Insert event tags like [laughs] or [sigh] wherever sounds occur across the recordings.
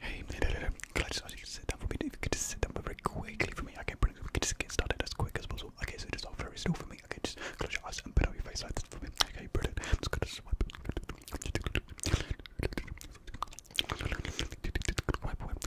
Hey, can I just ask you to sit down for me? If you could just sit down very quickly for me, okay, brilliant. We could just get started as quick as possible. Okay, so just hold very still for me. Okay, just close your eyes and put out your face like this for me. Okay, brilliant. I'm just going [laughs]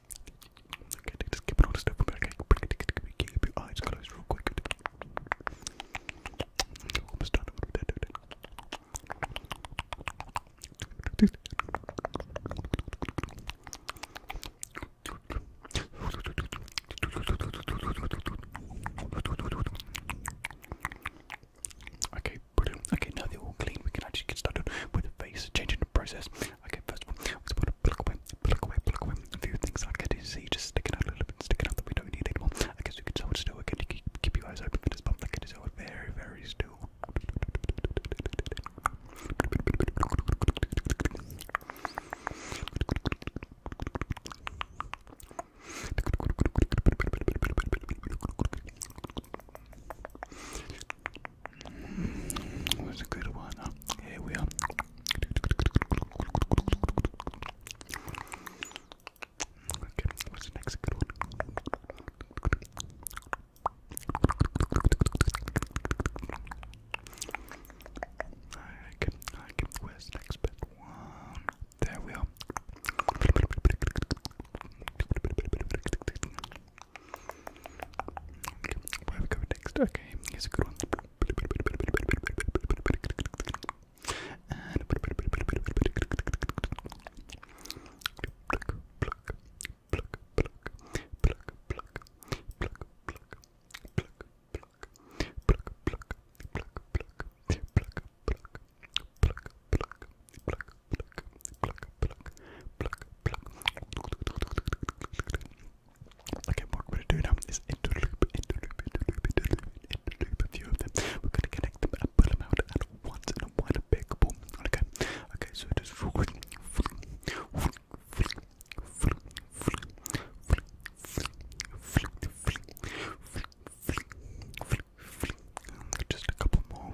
Okay, just keep it on the step. Okay, keep your eyes closed real quick. Okay, Okay, now they're all clean. We can actually get started with the face, changing the process. Okay, first one, I just want to away, pluck away, pluck away. A few things I can see just sticking out a little bit, sticking out we don't need anymore. I guess you can hold still, again, you keep, keep your eyes open for this bump, like it is all very, very still was a good one. Here we are. what's the next good one? I can, I can, where's next bit? There we are. Okay, where we go next? Okay, here's a good one. And pluck, pluck, pluck, pluck, pluck, pluck, pluck, pluck. Pluck, pluck, pluck, pluck, pluck, pluck, pluck, pluck, pluck, pluck, pluck, pluck, pluck, pluck, pluck, pluck. Okay, what we're gonna do now is interloop, interloop, interloop, interloop, interloop a few of them. We're gonna connect them and pull them out at once in a one big ball. Okay, okay, so just just a couple more.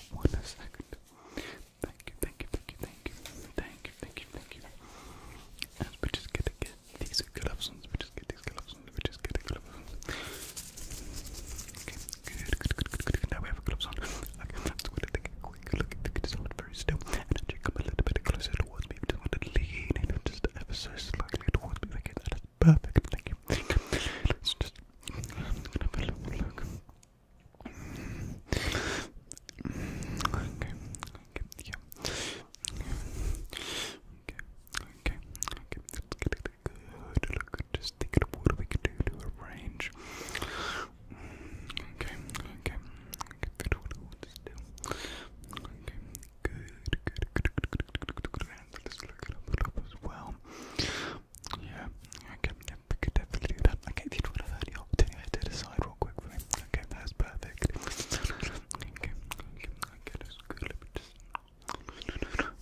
one second. Thank you, thank you, thank you, thank you, thank you, thank you, thank you. And we just gotta get these gloves we just get these gloves we just get the gloves on. Okay, good, good, good, good, good. Now we have gloves on. Okay, let's go to quick look at this one very still. And actually come a little bit closer towards me. just want to lean in just ever so slightly towards me, okay, that is perfect. Thank you. Let's just I'm gonna have a look. Okay, okay, Okay, okay, Let's get a good look. Just thinking of what we can do to arrange. Okay, okay, okay. good, good, good, good, good, good, good. let's look it up as well. Yeah, okay, yeah, we could definitely do that. Okay, if you would have heard your opportunity to decide real quick for me. Okay, that's perfect. Okay, okay, okay, that's good. Let me just.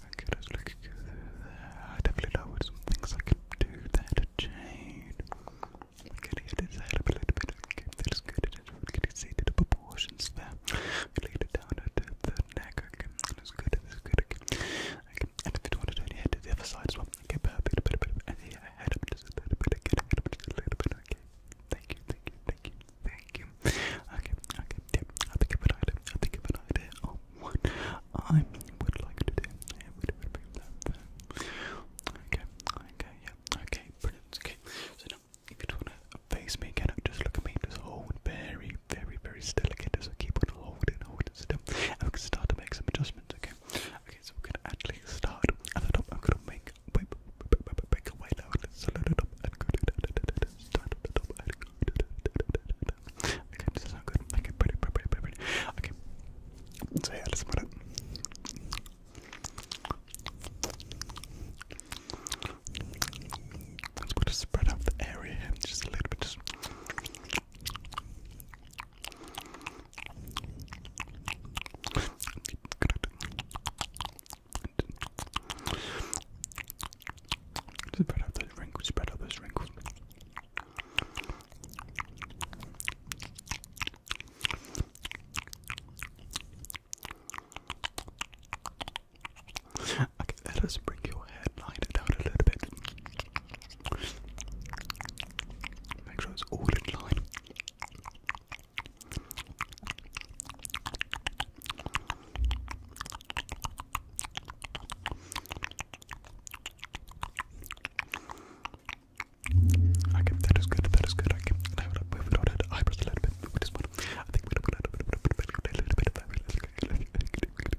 Okay, let's look at I definitely know what some things I can do there to change. Okay, yeah, let's a little bit. Okay, that's good. We can see the proportions there. We laid it down at the neck. that's good. That's good. And if you do want to turn your head to the other side well, okay, perfect, perfect, and then head up just a little bit, again, head up just a little bit, okay. Thank you, thank you, thank you, thank you. Okay, okay, yeah, I think of an idea, I think of an idea on what I would like to do. Yeah, would Okay, okay, yeah, okay, brilliant, okay. So now, if you don't want to face me again, just look at me, just hold very, very, very still again, keep okay? so we're actually start at I'm gonna make start to Okay, this is So yeah, let's it. Let's put spread out the area just a little bit, Spread out those wrinkles, spread out those wrinkles. Okay, let us bring your headline down a little bit. Make sure it's all in line. Okay, that is good, that is good. Okay, now we've got eyebrows a little bit. We just I think we don't want a little bit of a little bit of a little bit of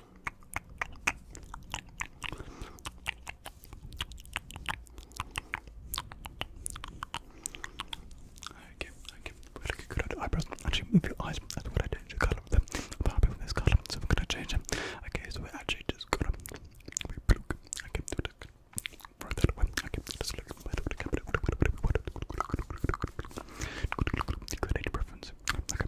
Okay, okay, we're looking good at eyebrows. Actually, move your eyes. That's what I do to colour them. I'm happy with this colour, so we're gonna change them. Okay, so we're actually just gonna we look. Okay, do it. Right that way. Okay, just look. Good any preference. Okay.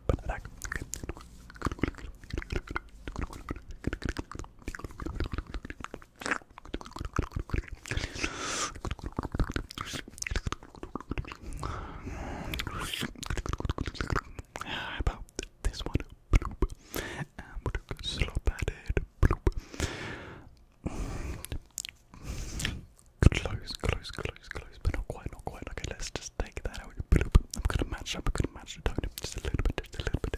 about this one? Bloop. And going to slop at it. Close, close, close close, close, but not quite, not quite. Okay, let's just take that out. I'm gonna match I'm gonna match just a little bit, just a little bit.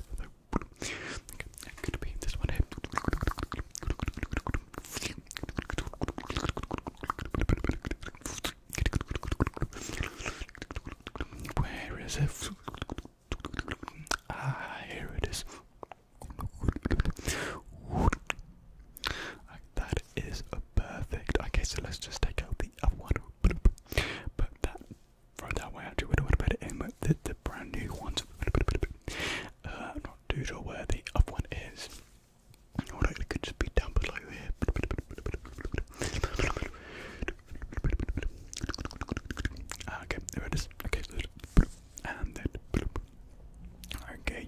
Where is it? Ah, here it is. that is perfect. Okay, so let's just take out the other one. But that, throw that way actually, we don't want to put it in with the, brand new ones. Uh, not too sure where the other one is. Or oh, no, it could just be down below here. Ah, okay, there it is. and then. Okay,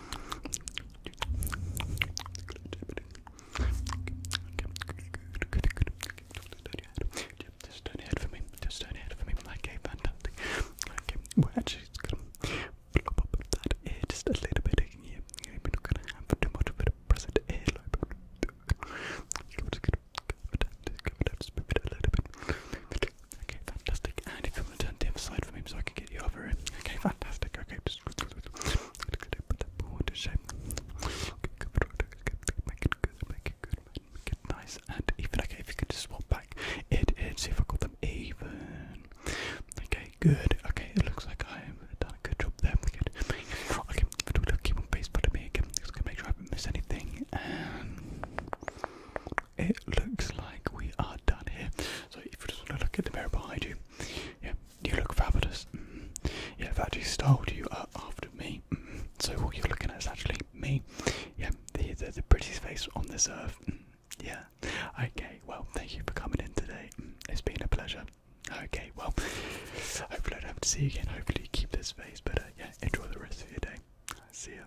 Just turn your head for me. Just turn your head for me. Okay, fantastic. Okay, we're actually just a little bit. Yeah, we're not gonna have too much of it present earlobe. We're just a little bit. Okay, fantastic. And if you want to turn the other for me so I can get you over it. Okay, fantastic. Okay, just put that ball to shape. Make it good, make it good, make it nice. And even, okay, if you could just swap back, it is, see if I got them even. Okay, good. Okay, it looks like I have done a good job there. Good. Okay, keep on face, but me again. Just gonna make sure I do not miss anything it looks like we are done here. So if you just want to look at the mirror behind you, yeah, you look fabulous. Mm. Yeah, I've actually styled you up after me. Mm. So what you're looking at is actually me. Yeah, the the, prettiest face on this earth. Mm. Yeah. Okay. Well, thank you for coming in today. It's been a pleasure. Okay. Well, hopefully I don't have to see you again. Hopefully you keep this face. better. Uh, yeah, enjoy the rest of your day. See you.